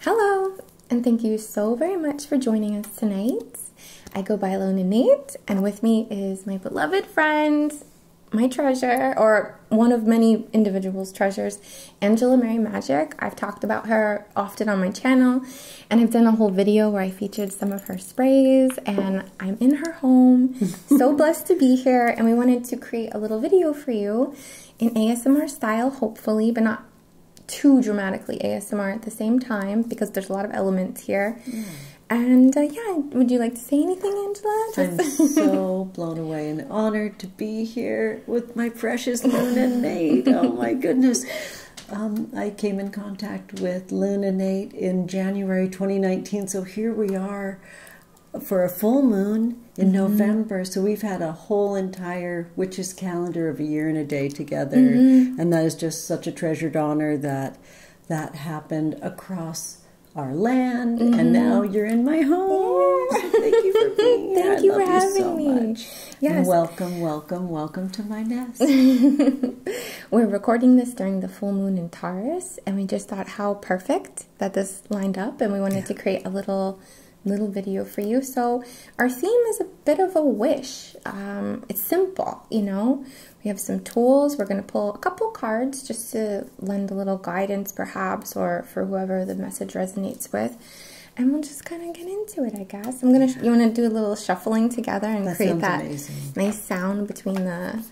Hello, and thank you so very much for joining us tonight. I go by Alona Nate, and with me is my beloved friend, my treasure, or one of many individuals' treasures, Angela Mary Magic. I've talked about her often on my channel, and I've done a whole video where I featured some of her sprays, and I'm in her home. so blessed to be here, and we wanted to create a little video for you in ASMR style, hopefully, but not too dramatically ASMR at the same time because there's a lot of elements here. Mm. And uh, yeah, would you like to say anything, Angela? I'm so blown away and honored to be here with my precious Luna Nate. Oh my goodness. Um, I came in contact with Luna Nate in January 2019, so here we are for a full moon in mm-hmm. November. So we've had a whole entire witches calendar of a year and a day together. Mm-hmm. And that is just such a treasured honor that that happened across our land. And mm-hmm. now you're in my home. Thank you for being here. Thank you for having me. Yes. welcome, welcome, welcome to my nest. We're recording this during the full moon in Taurus, and we just thought how perfect that this lined up, and we wanted to create a little little video for you. So our theme is a bit of a wish. Um, it's simple, you know. We have some tools. We're going to pull a couple cards just to lend a little guidance perhaps or for whoever the message resonates with. And we'll just kind of get into it, I guess. I'm going to, you want to do a little shuffling together and create that nice sound between the,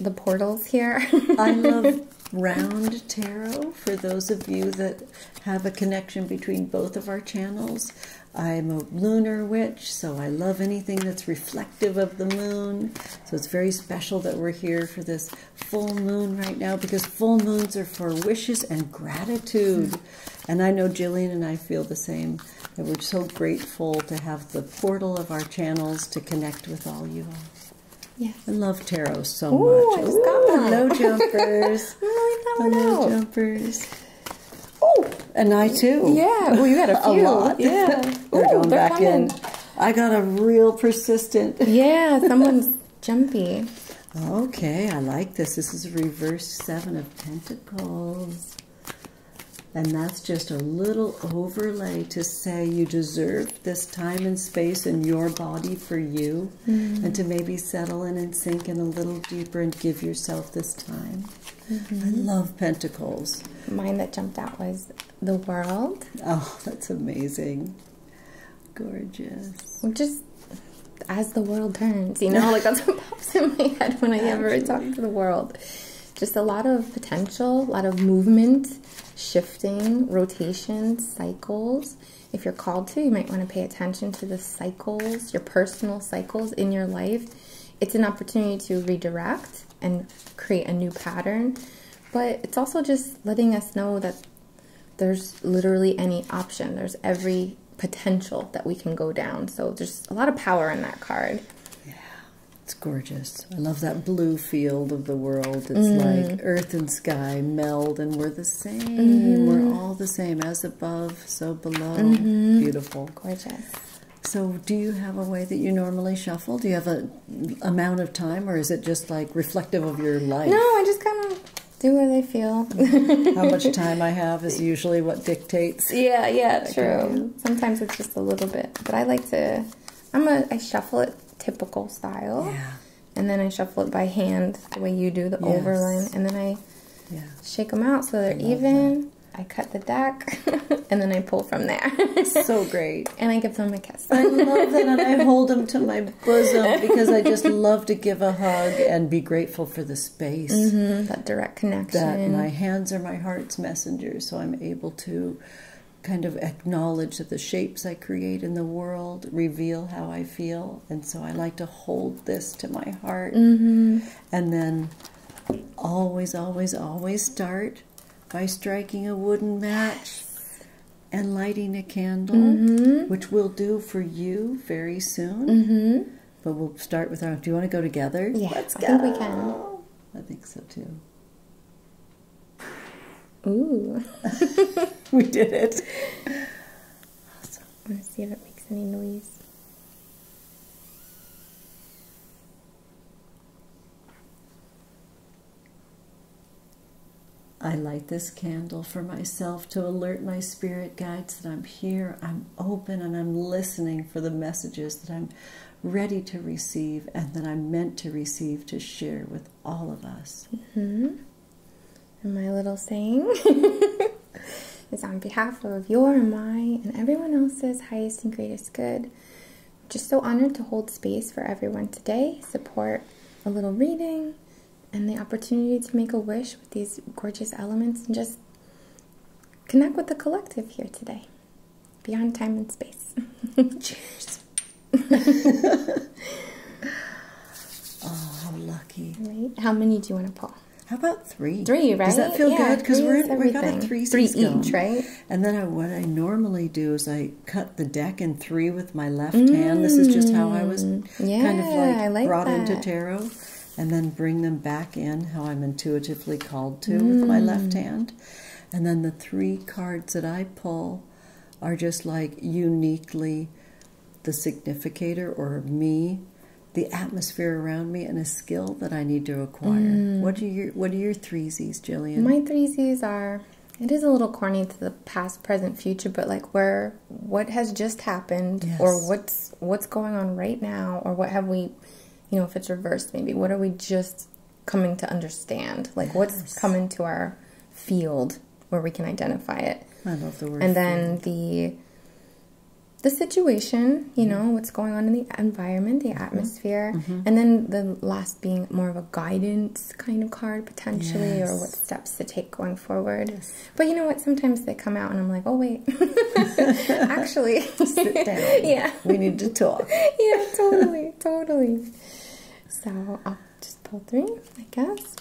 the portals here. I love round tarot for those of you that have a connection between both of our channels. I'm a lunar witch, so I love anything that's reflective of the moon. So it's very special that we're here for this full moon right now because full moons are for wishes and gratitude. And I know Jillian and I feel the same, that we're so grateful to have the portal of our channels to connect with all you all. Yeah, I love tarot so much. I just jumpers. Oh, oh, and I too. Yeah. Well, you got a lot. Yeah. they're coming. I got a real persistent. yeah, someone's jumpy. Okay, I like this. This is reverse seven of pentacles. And that's just a little overlay to say you deserve this time and space in your body for you. Mm-hmm. and to maybe settle in and sink in a little deeper and give yourself this time. I mm-hmm. love pentacles. Mine that jumped out was the world. Oh, that's amazing. Gorgeous. Just as the world turns, you know, like that's what pops in my head when I ever talk to the world. Just a lot of potential, a lot of movement, shifting, rotation, cycles if you're called to, you might want to pay attention to the cycles, your personal cycles in your life. It's an opportunity to redirect and create a new pattern, but it's also just letting us know that there's literally any option. There's every potential that we can go down. So there's a lot of power in that card. Yeah, it's gorgeous. I love that blue field of the world. It's mm. like earth and sky meld, and we're the same. We're mm-hmm. all the same, as above, so below. Mm-hmm. Beautiful, gorgeous. So, do you have a way that you normally shuffle? Do you have a amount of time, or is it just like reflective of your life? No, I just kind of do what I feel. How much time I have is usually what dictates. Yeah, yeah, true. Sometimes it's just a little bit, but I like to. I'm a. I shuffle it typical style. Yeah and then I shuffle it by hand the way you do the overline, and then I shake them out so they're even. I cut the deck, and then I pull from there. so great! And I give them a kiss. I love that, and I hold them to my bosom because I just love to give a hug and be grateful for the space, mm-hmm, that direct connection. That my hands are my heart's messengers, so I'm able to kind of acknowledge that the shapes I create in the world reveal how I feel, and so I like to hold this to my heart. Mm-hmm. And then always, always, always start by striking a wooden match and lighting a candle, mm-hmm. which we'll do for you very soon. Mm-hmm. But we'll start with our. Do you want to go together? Yeah, Let's go. I think we can. I think so too. Ooh. we did it. Awesome. I want to see if it makes any noise. I light this candle for myself to alert my spirit guides that I'm here, I'm open, and I'm listening for the messages that I'm ready to receive and that I'm meant to receive to share with all of us. Mm-hmm. And my little saying is on behalf of your and my and everyone else's highest and greatest good. Just so honored to hold space for everyone today, support a little reading, and the opportunity to make a wish with these gorgeous elements and just connect with the collective here today, beyond time and space. Cheers. Oh, how lucky. How many do you want to pull? How about three? Three, right? Does that feel good? Because we're we got a three three each, right? And then what I normally do is I cut the deck in three with my left hand. This is just how I was mm. kind of like, brought into tarot, and then bring them back in how I'm intuitively called to with my mm. left hand, and then the three cards that I pull are just like uniquely the significator or me, the atmosphere around me, and a skill that I need to acquire. Mm. What are your What are your threesies, Jillian? My threesies are. It is a little corny to the past, present, future, but like where what has just happened, or what's what's going on right now, or what have we, you know, if it's reversed, maybe what are we just coming to understand? Like what's coming to our field where we can identify it. And then the the situation, you know, what's going on in the environment, the mm-hmm. atmosphere, mm-hmm. and then the last being more of a guidance kind of card potentially, or what steps to take going forward. But you know what? Sometimes they come out, and I'm like, oh wait, actually, Yeah, we need to talk. yeah, totally, totally. So um, just pull through, I guess.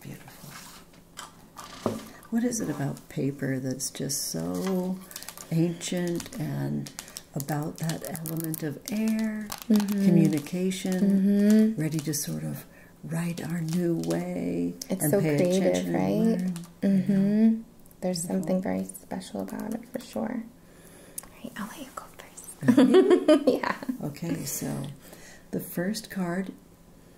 Beautiful. What is it about paper that's just so ancient and about that element of air, mm-hmm. communication, mm-hmm. ready to sort of write our new way? It's so creative, right? Mm-hmm. There's something very special about it for sure. Alright, I'll let you go first. Mm-hmm. yeah. Okay, so the first card,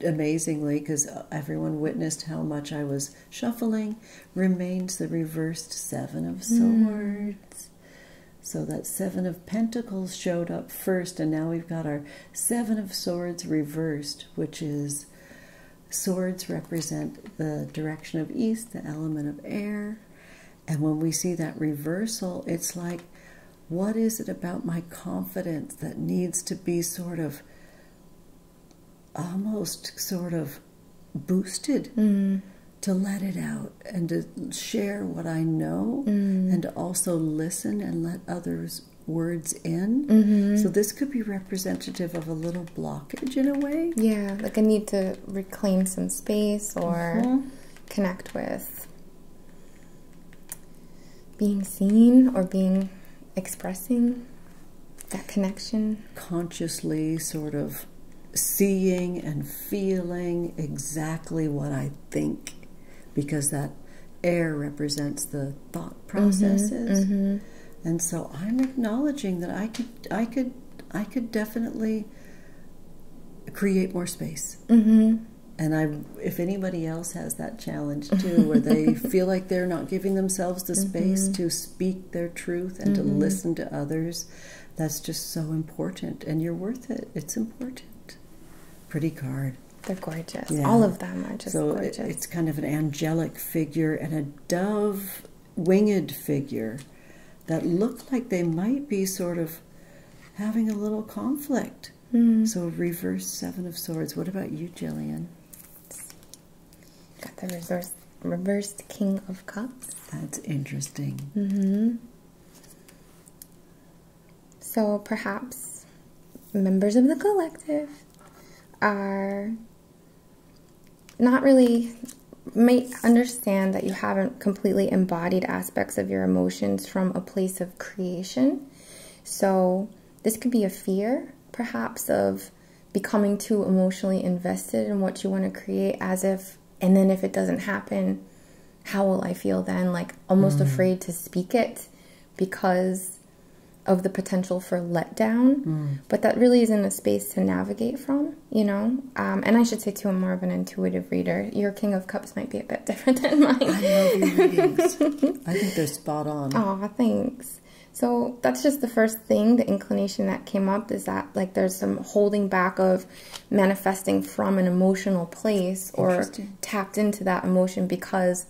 amazingly, because everyone witnessed how much I was shuffling, remains the reversed Seven of hmm. Swords. So that Seven of Pentacles showed up first, and now we've got our Seven of Swords reversed, which is swords represent the direction of east, the element of air, and when we see that reversal, it's like, what is it about my confidence that needs to be sort of almost sort of boosted mm. to let it out and to share what I know mm. and to also listen and let others' words in? Mm-hmm. So, this could be representative of a little blockage in a way. Yeah, like I need to reclaim some space or mm-hmm. connect with being seen or being expressing that connection. Consciously, sort of seeing and feeling exactly what I think because that air represents the thought mm-hmm, processes. Mm-hmm. And so I'm acknowledging that I could I could I could definitely create more space. Mm-hmm. And I, if anybody else has that challenge too, where they feel like they're not giving themselves the space mm-hmm. to speak their truth and to mm-hmm. listen to others, that's just so important. And you're worth it. It's important. Pretty card. They're gorgeous. All of them are just gorgeous. it's kind of an angelic figure and a dove winged figure that looked like they might be sort of having a little conflict. Hmm. So reverse seven of swords. What about you, Jillian? Got the reverse reversed king of cups. That's interesting. Mm-hmm. So perhaps members of the collective are not really might understand that you haven't completely embodied aspects of your emotions from a place of creation. So, this could be a fear, perhaps, of becoming too emotionally invested in what you want to create, as if, and then if it doesn't happen, how will I feel then? Like almost mm. afraid to speak it because of the potential for letdown. Mm. But that really isn't a space to navigate from you know, um, and I should say too, I'm more of an intuitive reader. Your King of Cups might be a bit different than mine. I love your readings. I think they're spot on. Oh, thanks. So that's just the first thing, the inclination that came up is that like there's some holding back of manifesting from an emotional place or tapped into that emotion because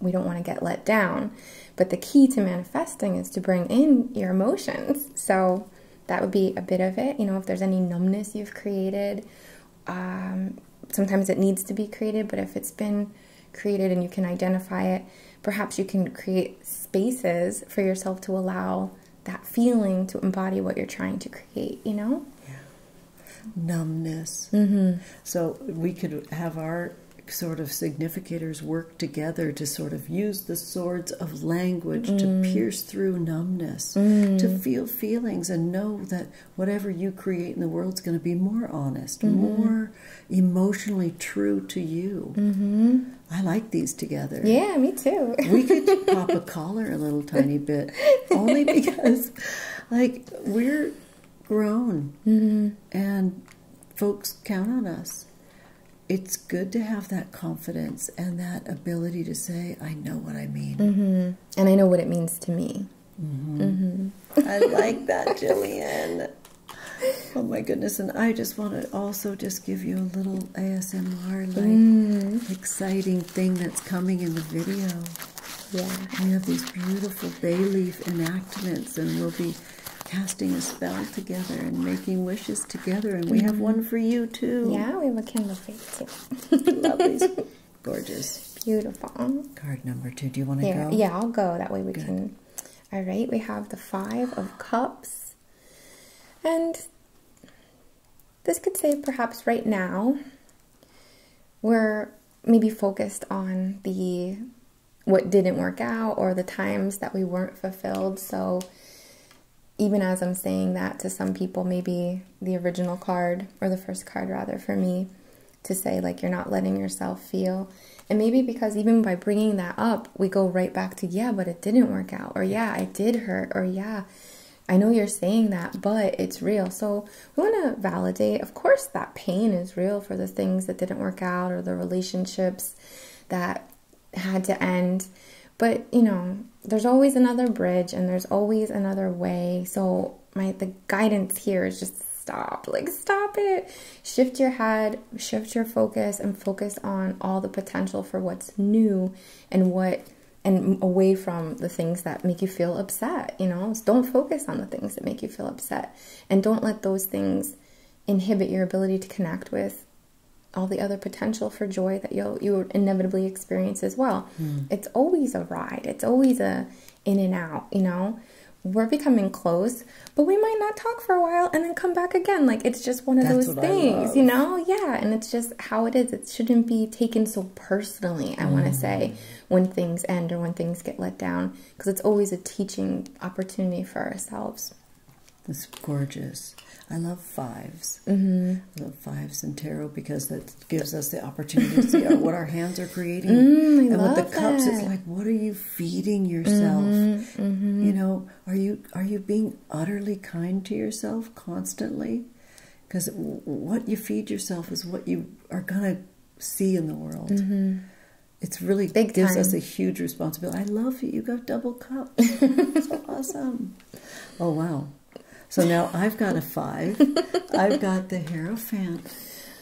we don't want to get let down. But the key to manifesting is to bring in your emotions. So that would be a bit of it. You know, if there's any numbness you've created, um, sometimes it needs to be created, but if it's been created and you can identify it, perhaps you can create spaces for yourself to allow that feeling to embody what you're trying to create, you know? Numbness. Mm-hmm. So we could have our sort of significators work together to sort of use the swords of language to mm. pierce through numbness, to mm. feel feelings and know that whatever you create in the world is going to be more honest, mm-hmm. more emotionally true to you. Mm-hmm. I like these together. Yeah, me too. we could pop a collar a little tiny bit, only because, like, we're grown mm-hmm. and folks count on us it's good to have that confidence and that ability to say, I know what I mean. Mm-hmm. And I know what it means to me. Mm-hmm. Mm-hmm. I like that, Jillian. Oh my goodness. And I just want to also just give you a little ASMR like mm. exciting thing that's coming in the video. Yeah. We have these beautiful bay leaf enactments, and we'll be casting a spell together and making wishes together. And we have mm-hmm. one for you, too. Yeah, we have a candle for you, too. Gorgeous. Beautiful. Card number two. Do you want to go? Yeah, I'll go. That way we can. All right, we have the Five of Cups. And this could say perhaps right now we're maybe focused on the what didn't work out or the times that we weren't fulfilled. So even as I'm saying that to some people, maybe the original card or the first card rather for me to say like you're not letting yourself feel. And maybe because even by bringing that up, we go right back to yeah, but it didn't work out or yeah, I did hurt or yeah, I know you're saying that, but it's real. So we want to validate, of course, that pain is real for the things that didn't work out or the relationships that had to end. But, you know, there's always another bridge and there's always another way. So my the guidance here is just stop. Like stop it. Shift your head, shift your focus and focus on all the potential for what's new and what and away from the things that make you feel upset, you know? don't focus on the things that make you feel upset and don't let those things inhibit your ability to connect with all the other potential for joy that you'll you inevitably experience as well. Hmm. It's always a ride. It's always a in and out, you know? We're becoming close, but we might not talk for a while and then come back again. Like it's just one of those things, you know? Yeah, and it's just how it is. It shouldn't be taken so personally, I want to hmm. say, when things end or when things get let down, because it's always a teaching opportunity for ourselves. It's gorgeous. I love fives. Mm-hmm. I love fives and tarot because that gives us the opportunity to see oh, what our hands are creating. Mm, and with the cups, it's like, what are you feeding yourself? Mm-hmm, mm-hmm. You know, are you are you being utterly kind to yourself constantly? Because what you feed yourself is what you are gonna see in the world. it's really Big gives us a huge responsibility. I love you. You got double cup. awesome. Oh, wow. So now I've got a five. I've got the Hero Fan,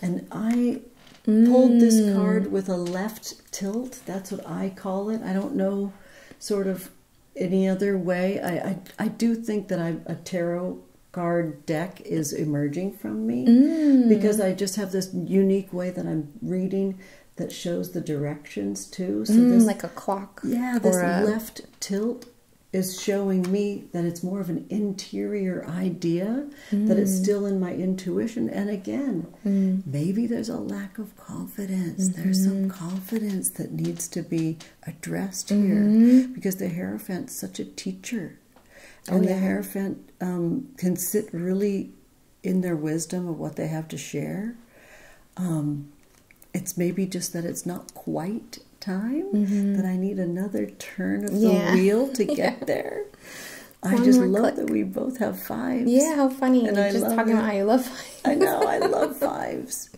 And I pulled this mm. card with a left tilt. That's what I call it. I don't know sort of any other way. I, I, do think that i a tarot card deck is emerging from me mm. because I just have this unique way that I'm reading that shows the directions too. Mm, like a clock. Yeah, this left tilt is showing me that it's more of an interior idea, mm. that it's mm. still in my intuition. And again, mm. maybe there's a lack of confidence. There's some mm-hmm. confidence that needs to be addressed here mm-hmm. because the Hierophant's such a teacher. Oh, and the Hierophant um, can sit really in their wisdom of what they have to share. Um, it's maybe just that it's not quite time, mm-hmm. that I need another turn of the wheel to get there. I just love that we both have fives. Yeah, how funny. And You're just talking about how you love fives. I know, I love fives.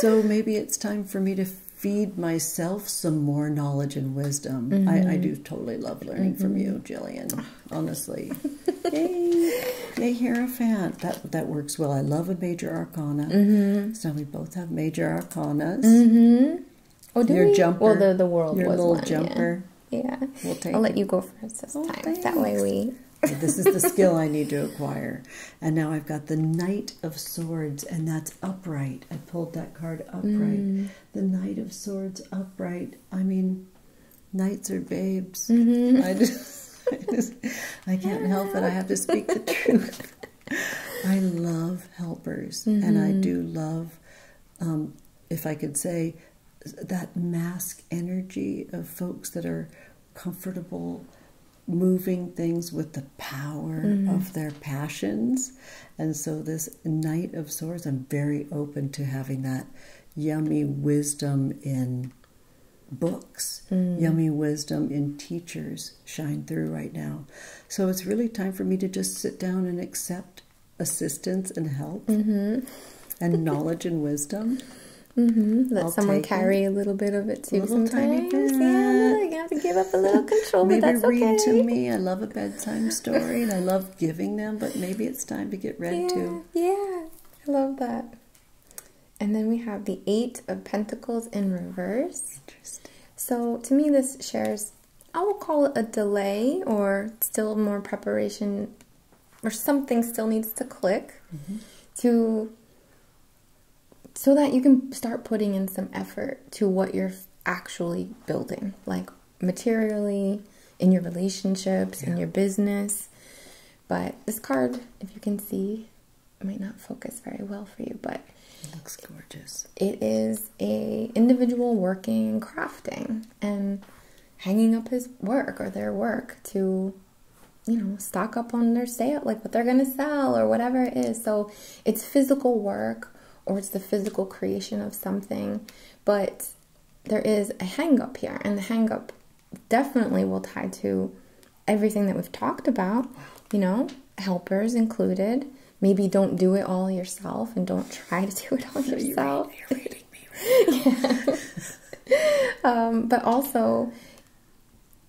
So maybe it's time for me to feed myself some more knowledge and wisdom. I, mm-hmm. do totally love learning from you, mm-hmm. Jillian, honestly. Yay! Yay, Hierophant. That, that works well. I love a major arcana. Mm So we both have major arcanas. Mm -hmm. Oh, do your jumper. Well, the, the world your was little jumper. Yeah. I'll let you go first this oh, time. That way we. this is the skill I need to acquire. And now I've got the Knight of Swords, and that's upright. I pulled that card upright. Mm. The Knight of Swords upright. I mean, knights or babes. Mm-hmm. I, just, I can't help it. I have to speak the truth. I love helpers, and I mm-hmm. do love, um, if I could say, that mask energy of folks that are comfortable moving things with the power mm-hmm. of their passions. And so, this Knight of Swords, I'm very open to having that yummy wisdom in books. Mm. Yummy wisdom in teachers shine through right now. So it's really time for me to just sit down and accept assistance and help mm-hmm. and knowledge and wisdom. Mm-hmm. Let someone carry a little bit of it too. sometimes. tiny bit. Yeah, you have to give up a little control, maybe read to me. I love a bedtime story, and I love giving them. But maybe it's time to get read too. Yeah, I love that. And then we have the Eight of Pentacles in reverse. So to me, this shares, I will call it a delay or still more preparation or something still needs to click mm-hmm. to so that you can start putting in some effort to what you're actually building, like materially, in your relationships, yeah. in your business. But this card, if you can see, might not focus very well for you, but it looks gorgeous. It is a individual working crafting and hanging up his work or their work to you know, stock up on their sale, like what they're gonna sell or whatever it is. So it's physical work or it's the physical creation of something, but there is a hang up here, and the hang up definitely will tie to everything that we've talked about, you know, helpers included. Maybe don't do it all yourself and don't try to do it all yourself. You're, you me um, but also,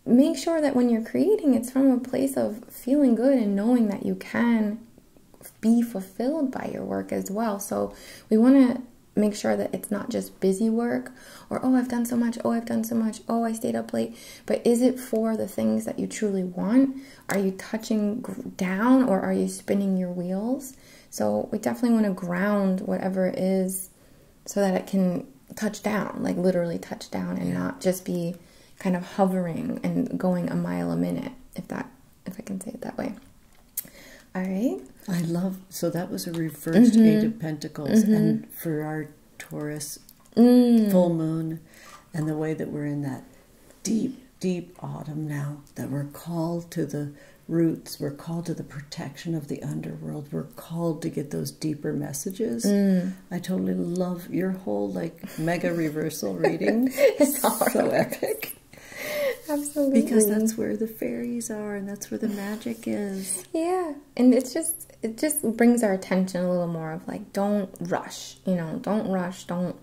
make sure that when you're creating, it's from a place of feeling good and knowing that you can be fulfilled by your work as well. So we want to make sure that it's not just busy work or, oh, I've done so much, oh, I've done so much, oh, I stayed up late. But is it for the things that you truly want? Are you touching down or are you spinning your wheels? So we definitely want to ground whatever it is so that it can touch down, like literally touch down and not just be kind of hovering and going a mile a minute, if that, if I can say it that way. All right. I love so that was a reversed eight mm-hmm. of pentacles mm-hmm. and for our Taurus mm. full moon and the way that we're in that deep deep autumn now that we're called to the roots we're called to the protection of the underworld we're called to get those deeper messages mm. i totally love your whole like mega reversal reading it's so epic Absolutely. Because that's where the fairies are and that's where the magic is. Yeah, and it's just it just brings our attention a little more of like don't rush, you know, don't rush, don't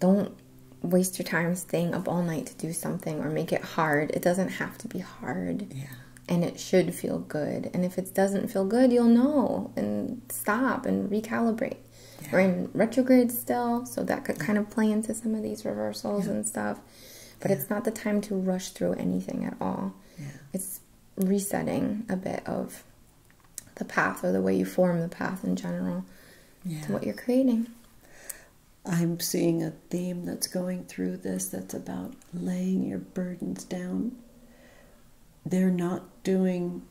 don't waste your time staying up all night to do something or make it hard. It doesn't have to be hard. Yeah. And it should feel good. And if it doesn't feel good, you'll know and stop and recalibrate. We're in retrograde still, so that could kind of play into some of these reversals and stuff. But it's not the time to rush through anything at all. It's resetting a bit of the path or the way you form the path in general to what you're creating. I'm seeing a theme that's going through this that's about laying your burdens down. They're not doing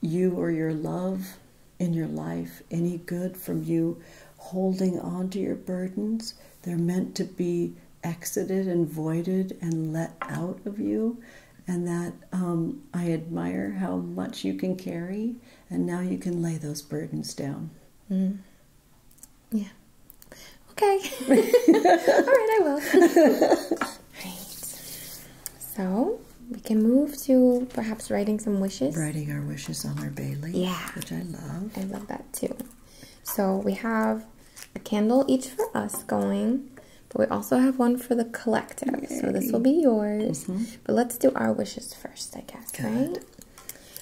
you or your love in your life any good from you holding on to your burdens they're meant to be exited and voided and let out of you. And that um, I admire how much you can carry, and now you can lay those burdens down. Mm. Yeah. Okay. All right, I will. right. So we can move to perhaps writing some wishes. Writing our wishes on our Bailey. Yeah. Which I love. I love that too. So we have a candle each for us going, but we also have one for the collective. So this will be yours. Mm-hmm. But let's do our wishes first, I guess, right?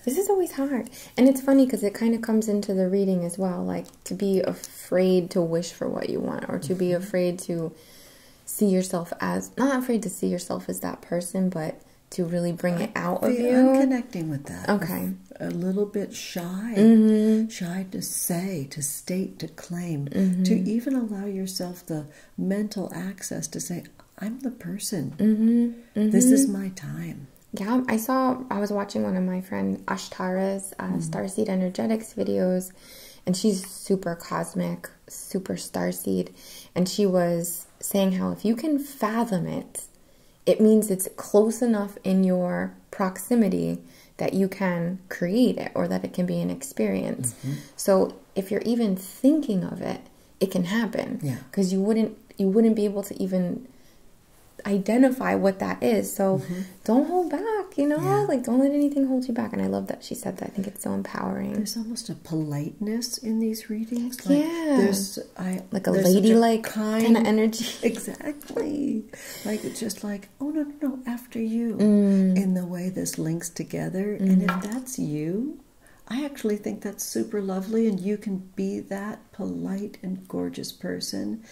This is always hard. And it's funny because it kind of comes into the reading as well, like to be afraid to wish for what you want or to be mm-hmm. afraid to see yourself as not afraid to see yourself as that person, but to really bring it out of you. i connecting with that. Okay. A little bit shy, mm-hmm. shy to say, to state, to claim, to mm-hmm. even allow yourself the mental access to say, I'm the person. Mm-hmm. This is my time. Yeah, I saw, I was watching one of my friend Ashtara's uh, mm. Starseed Energetics videos, and she's super cosmic, super starseed. And she was saying how if you can fathom it, it means it's close enough in your proximity that you can create it or that it can be an experience. Mm-hmm. So if you're even thinking of it, it can happen. Because you wouldn't you wouldn't be able to even identify what that is. So mm-hmm. don't hold back, you know? Like don't let anything hold you back. And I love that she said that. I think it's so empowering. There's almost a politeness in these readings. Like yeah. I like a ladylike kind of energy. Exactly. like it's just like, oh no, no, after you. Mm. In the way this links together. And if mm-hmm. that's you, I actually think that's super lovely and you can be that polite and gorgeous person.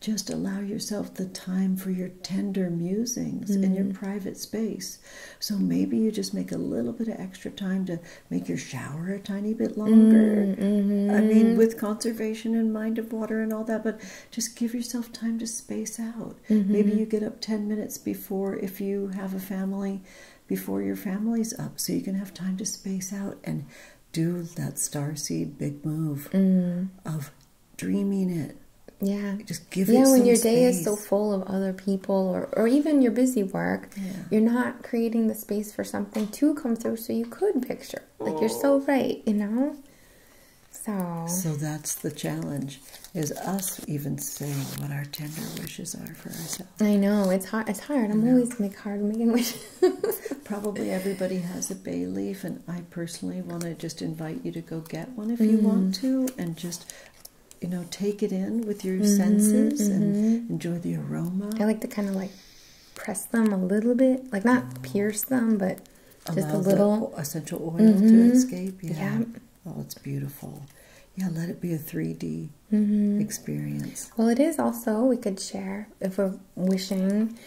Just allow yourself the time for your tender musings in your mm. private space. So maybe you just make a little bit of extra time to make your shower a tiny bit longer. Mm-hmm. I mean, with conservation and mind of water and all that, but just give yourself time to space out. Maybe mm-hmm. you get up 10 minutes before, if you have a family, before your family's up, so you can have time to space out and do that star seed big move mm. of dreaming it. Yeah. Just give yeah, when your day is so full of other people or, or even your busy work you're not creating the space for something to come through so you could picture like you're so oh. right you know so so that's the challenge is us even saying what our tender wishes are for ourselves i know it's hard it's hard i'm always make hard making wishes probably everybody has a bay leaf and i personally want to just invite you to go get one if you want mm-hmm. to and just you know, take it in with your mm-hmm, senses and mm-hmm. enjoy the aroma. I like the kind of like press them a little bit, like not pierce them, but just a little essential oil to mm-hmm. escape. Yeah. Oh, it's beautiful. Yeah, let it be a 3D mm-hmm. experience. Well, it is also, we could share if we're wishing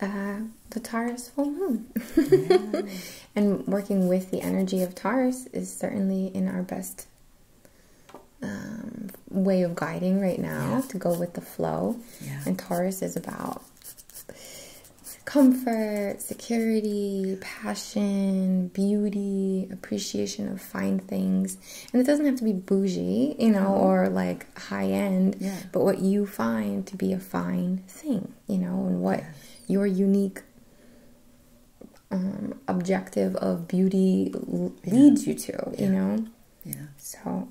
uh, the Taurus full moon. and working with the energy of Taurus is certainly in our best um, way of guiding right now to go with the flow. And Taurus is about comfort, security, passion, beauty, appreciation of fine things. And it doesn't have to be bougie, you know, or like high end, yeah. but what you find to be a fine thing, you know, and what your unique um, objective of beauty leads you to, you know yeah so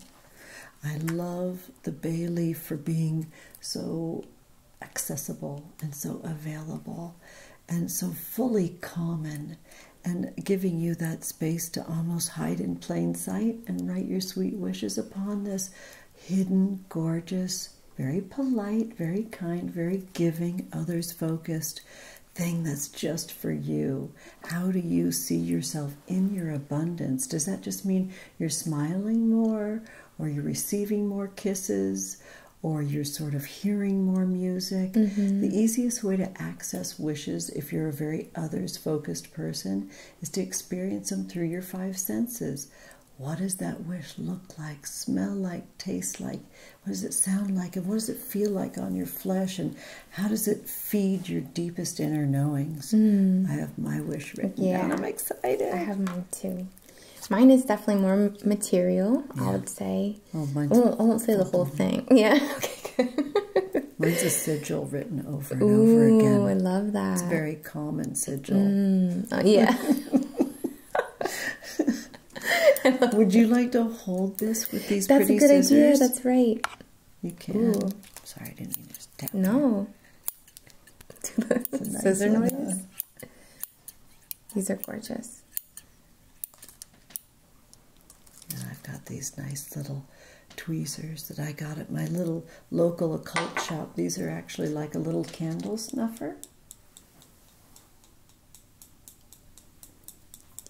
i love the bailey for being so accessible and so available and so fully common and giving you that space to almost hide in plain sight and write your sweet wishes upon this hidden gorgeous very polite very kind very giving others focused thing that's just for you. How do you see yourself in your abundance? Does that just mean you're smiling more, or you're receiving more kisses, or you're sort of hearing more music? Mm-hmm. The easiest way to access wishes, if you're a very others focused person, is to experience them through your five senses. What does that wish look like, smell like, taste like? What does it sound like? And what does it feel like on your flesh? And how does it feed your deepest inner knowings? Hmm. I have my wish written yeah. down. I'm excited. I have mine too. Mine is definitely more material, I would say. Oh, mine's I, won't, say the whole thing. Yeah. Okay, good. mine's a sigil written over and over again. I love that. It's very common sigil. Hmm. Oh, yeah. Would you like to hold this with these That's pretty scissors? That's a good idea. That's right. You can. Sorry, I didn't mean No. nice Scissor noise. These are gorgeous. And I've got these nice little tweezers that I got at my little local occult shop. These are actually like a little candle snuffer.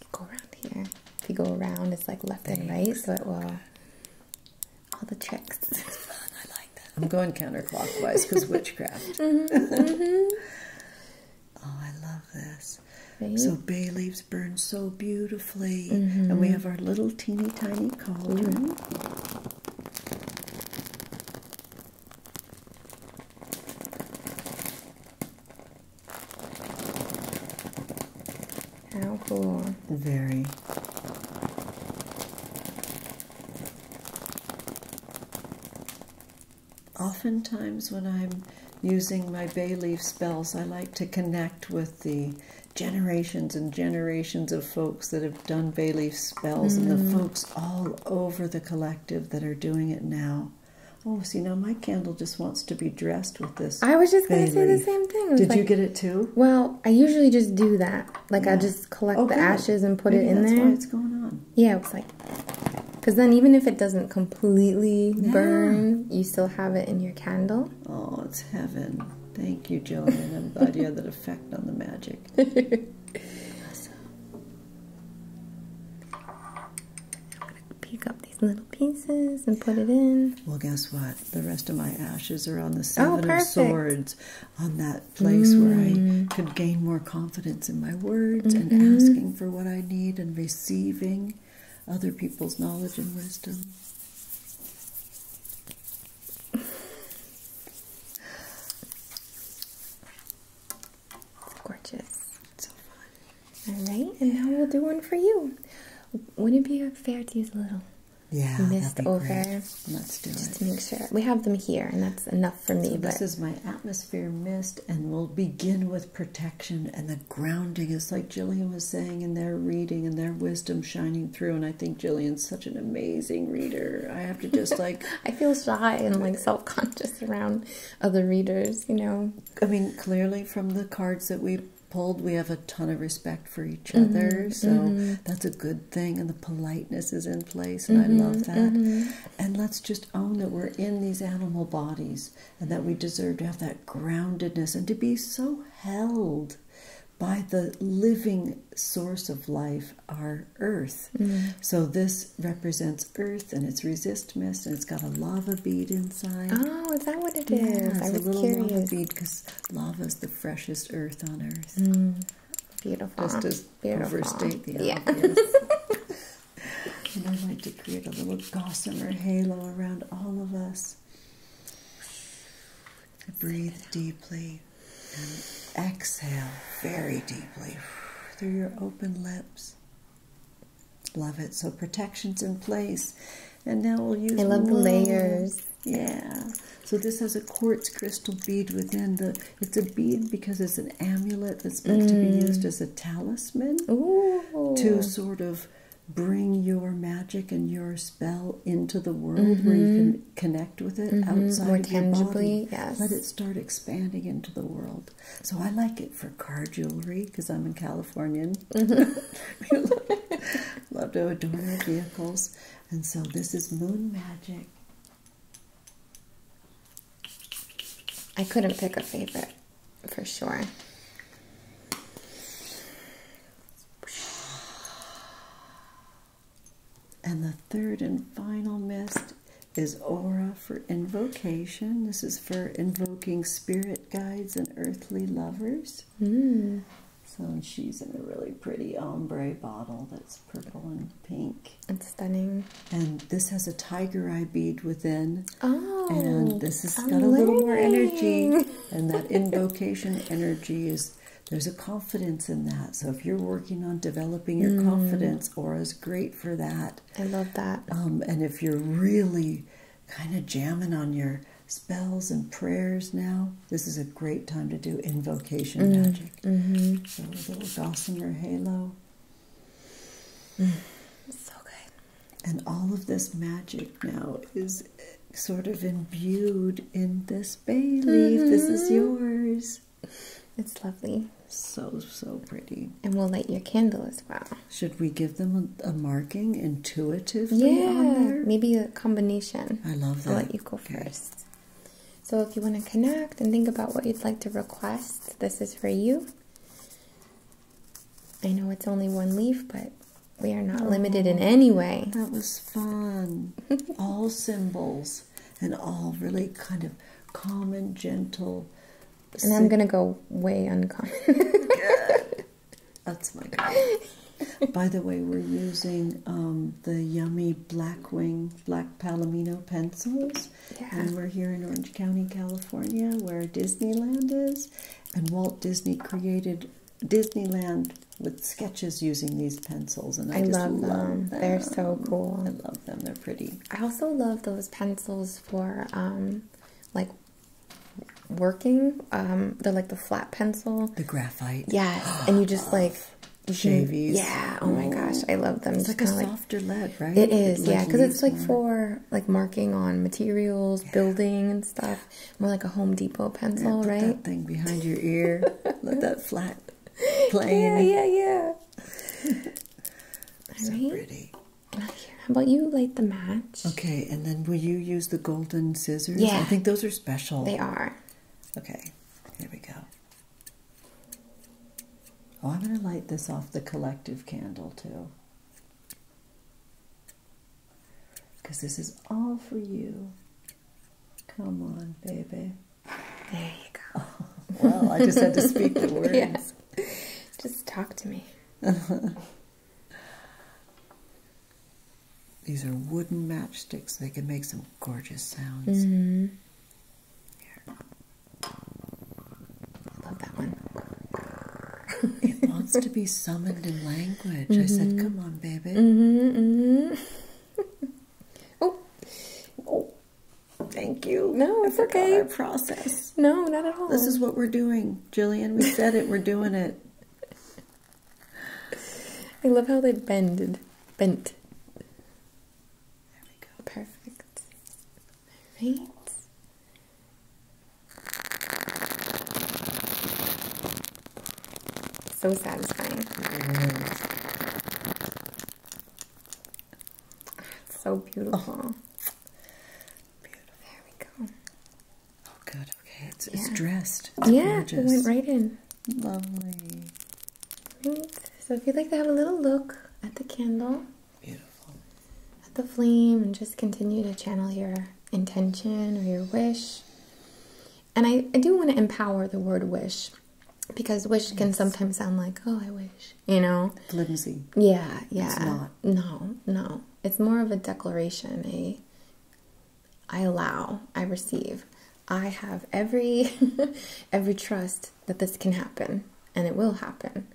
You go around here. If you go around, it's like left and right, so it will. All the tricks. I like that. I'm going counterclockwise because witchcraft. Mm-hmm, mm-hmm. oh, I love this. So bay leaves burn so beautifully, mm-hmm. and we have our little teeny tiny cauldron. How cool. Very. Often times, when I'm using my bay leaf spells, I like to connect with the generations and generations of folks that have done bay leaf spells and the mm. folks all over the collective that are doing it now. Oh, see now my candle just wants to be dressed with this. I was just going to say the same thing. Did you get it too? Well, I usually just do that. Like I just collect the ashes and put it in there. That's why going on. Yeah, it's like because then even if it doesn't completely burn, you still have it in your candle. Oh, it's heaven. Thank you, Jillian. I'm glad you had that effect on the magic. awesome. I'm gonna pick up little pieces and put it in. Well, guess what? The rest of my ashes are on the oh, Seven of swords, on that place where I mm. could gain more confidence in my words and mm-hmm. asking for what I need and receiving other people's knowledge and wisdom. gorgeous. All right, and now we'll do one for you. Wouldn't it be fair to use a little yeah, mist over? Let's do just it. Just to make sure. We have them here, and that's enough for me. So this is my atmosphere mist, and we'll begin with protection and the grounding. is like Jillian was saying and their reading and their wisdom shining through, and I think Jillian's such an amazing reader. I have to just like... I feel shy and like self-conscious around other readers, you know. I mean, clearly from the cards that we pulled, we have a ton of respect for each mm-hmm, other. So mm-hmm. that's a good thing. And the politeness is in place. And I mm-hmm, love that. And let's just own that we're in these animal bodies and that we deserve to have that groundedness and to be so held by the living source of life, our earth. Mm. So this represents earth and it's resist mist and it's got a lava bead inside. Oh, is that what it is? yeah, is? I a little lava bead because lava is the freshest earth on earth. Mm. Beautiful. Just to Beautiful. overstate yeah. and I want to create a little gossamer halo around all of us. Breathe deeply and exhale very deeply through your open lips. Love it. So protection's in place. And now we'll use I love the layers. Yeah. So this has a quartz crystal bead within the it's a bead because it's an amulet that's meant to be used mm. as a talisman Ooh. to sort of bring your magic and your spell into the world where you mm-hmm. can connect with it mm -hmm. outside More of your tangibly, body. Yes. Let it start expanding into the world. So I like it for car jewelry because I'm a Californian we love to adorn our vehicles. And so this is Moon Magic. I couldn't pick a favorite for sure. And the third and final mist is Aura for Invocation. This is for invoking spirit Guides and Earthly Lovers. Mm. So she's in a really pretty ombre bottle that's purple and pink. It's stunning. And this has a tiger eye bead within. Oh. And this has got a little more energy. And that invocation energy is there's a confidence in that. So if you're working on developing your mm. confidence, Aura's great for that. I love that. Um, and if you're really kind of jamming on your spells and prayers now, this is a great time to do invocation mm, magic. Mm-hmm. So little gossamer halo. Mm. So good. And all of this magic now is sort of imbued in this bay leaf. This is mm-hmm. yours. It's lovely. So, so pretty. And we'll light your candle as well. Should we give them a, marking intuitively? Yeah, maybe a combination. I love that. I'll let you go first. So, if you want to connect and think about what you'd like to request, this is for you. I know it's only one leaf, but we are not limited in oh, any way. That was fun. all symbols and all really kind of calm and gentle. And I'm going to go way uncommon. That's my By the way, we're using um, the yummy black wing, Black Palomino pencils, and we're here in Orange County, California, where Disneyland is, and Walt Disney created Disneyland with sketches using these pencils, and I, love them. They're so cool. I love them. They're pretty. I also love those pencils for um, like working um the like the flat pencil the graphite yes and you just like shavies yeah oh my gosh i love them it's, it's like a like, softer lead right it is it yeah because it's like more. for like marking on materials yeah. building and stuff more like a home depot pencil yeah, right that thing behind your ear let that flat plane yeah yeah yeah so right. pretty how about you light the match? Okay, and then will you use the golden scissors? Yeah. I think those are special. They are. Okay, here we go. Oh, I'm going to light this off the collective candle too. Because this is all for you. Come on, baby. There you go. well, I just had to speak the words. Just talk to me. These are wooden matchsticks. They can make some gorgeous sounds. I mm-hmm. love that one. it wants to be summoned in language. I said, mm-hmm. "Come on, baby." Mm -hmm, oh, oh, thank you. No, it's okay. Process. No, not at all. This is what we're doing. Jillian, we said it. We're doing it. I love how they bended. Bent. Mm-hmm. Oh. There we go. Perfect. All right. So satisfying. So beautiful. Beautiful. There we go. Oh, good. Okay, it's, it's dressed. yeah, gorgeous. it went right in. Lovely. Right. So if you'd like to have a little look at the candle. Beautiful. At the flame and just continue to channel your intention or your wish. And I, I do want to empower the word wish because wish can sometimes sound like, oh, I wish, you know? Flimsy. Yeah, yeah. not. No, no. It's more of a declaration, a I allow, I receive. I have every every trust that this can happen and it will happen.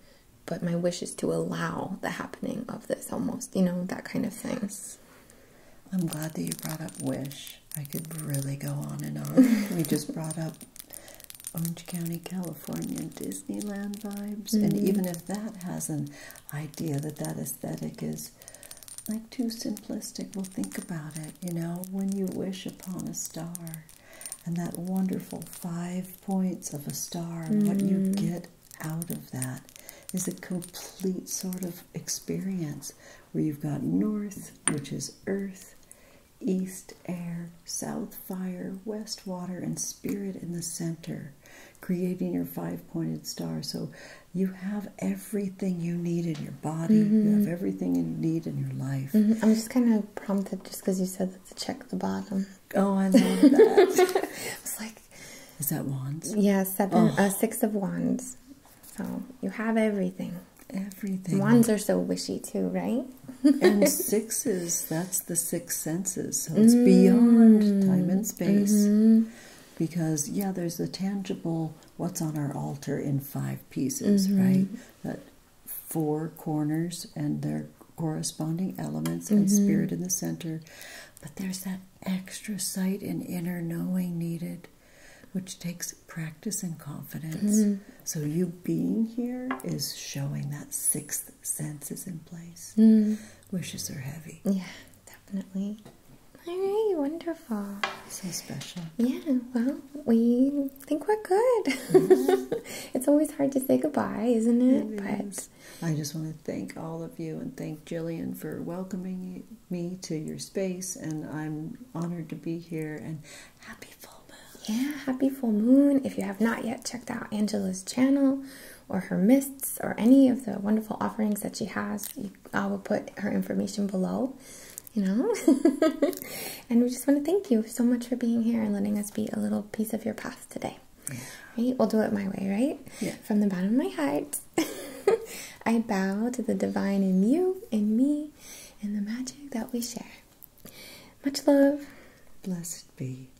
But my wish is to allow the happening of this almost, you know, that kind of things. I'm glad that you brought up wish. I could really go on and on. we just brought up Orange County, California, Disneyland vibes. And mm-hmm. even if that hasn't, idea that that aesthetic is like too simplistic. Well, think about it, you know, when you wish upon a star and that wonderful five points of a star, what you mm-hmm. get out of that is a complete sort of experience where you've got north, which is earth, east air, south fire, west water, and spirit in the center creating your five pointed star. So you have everything you need in your body, you mm-hmm. have everything you need in your life. Mm-hmm. I'm just kind of prompted just because you said to check the bottom. Oh, I love that. it's like, is that wands? Yeah, seven, oh. a uh, six of wands. So you have everything. Everything. Wands are so wishy too, right? and sixes, that's the six senses. So it's beyond mm. time and space. Mm-hmm. Because, yeah, there's the tangible what's on our altar in five pieces, mm-hmm. right? That four corners and their corresponding elements and mm-hmm. spirit in the center. But there's that extra sight and inner knowing needed which takes practice and confidence. So, you being here is showing that sixth senses in place. Mm. Wishes are heavy. Yeah, definitely. All right, wonderful. So special. Yeah, well, we think we're good. it's always hard to say goodbye, isn't it? but I just want to thank all of you and thank Jillian for welcoming me to your space. And I'm honored to be here and happy full moon. Yeah, happy full moon. If you have not yet checked out Angela's channel, or her mists or any of the wonderful offerings that she has, I will put her information below, you know. and we just want to thank you so much for being here and letting us be a little piece of your path today. We'll do it my way, right? From the bottom of my heart, I bow to the divine in you, in me, and the magic that we share. Much love. Blessed be.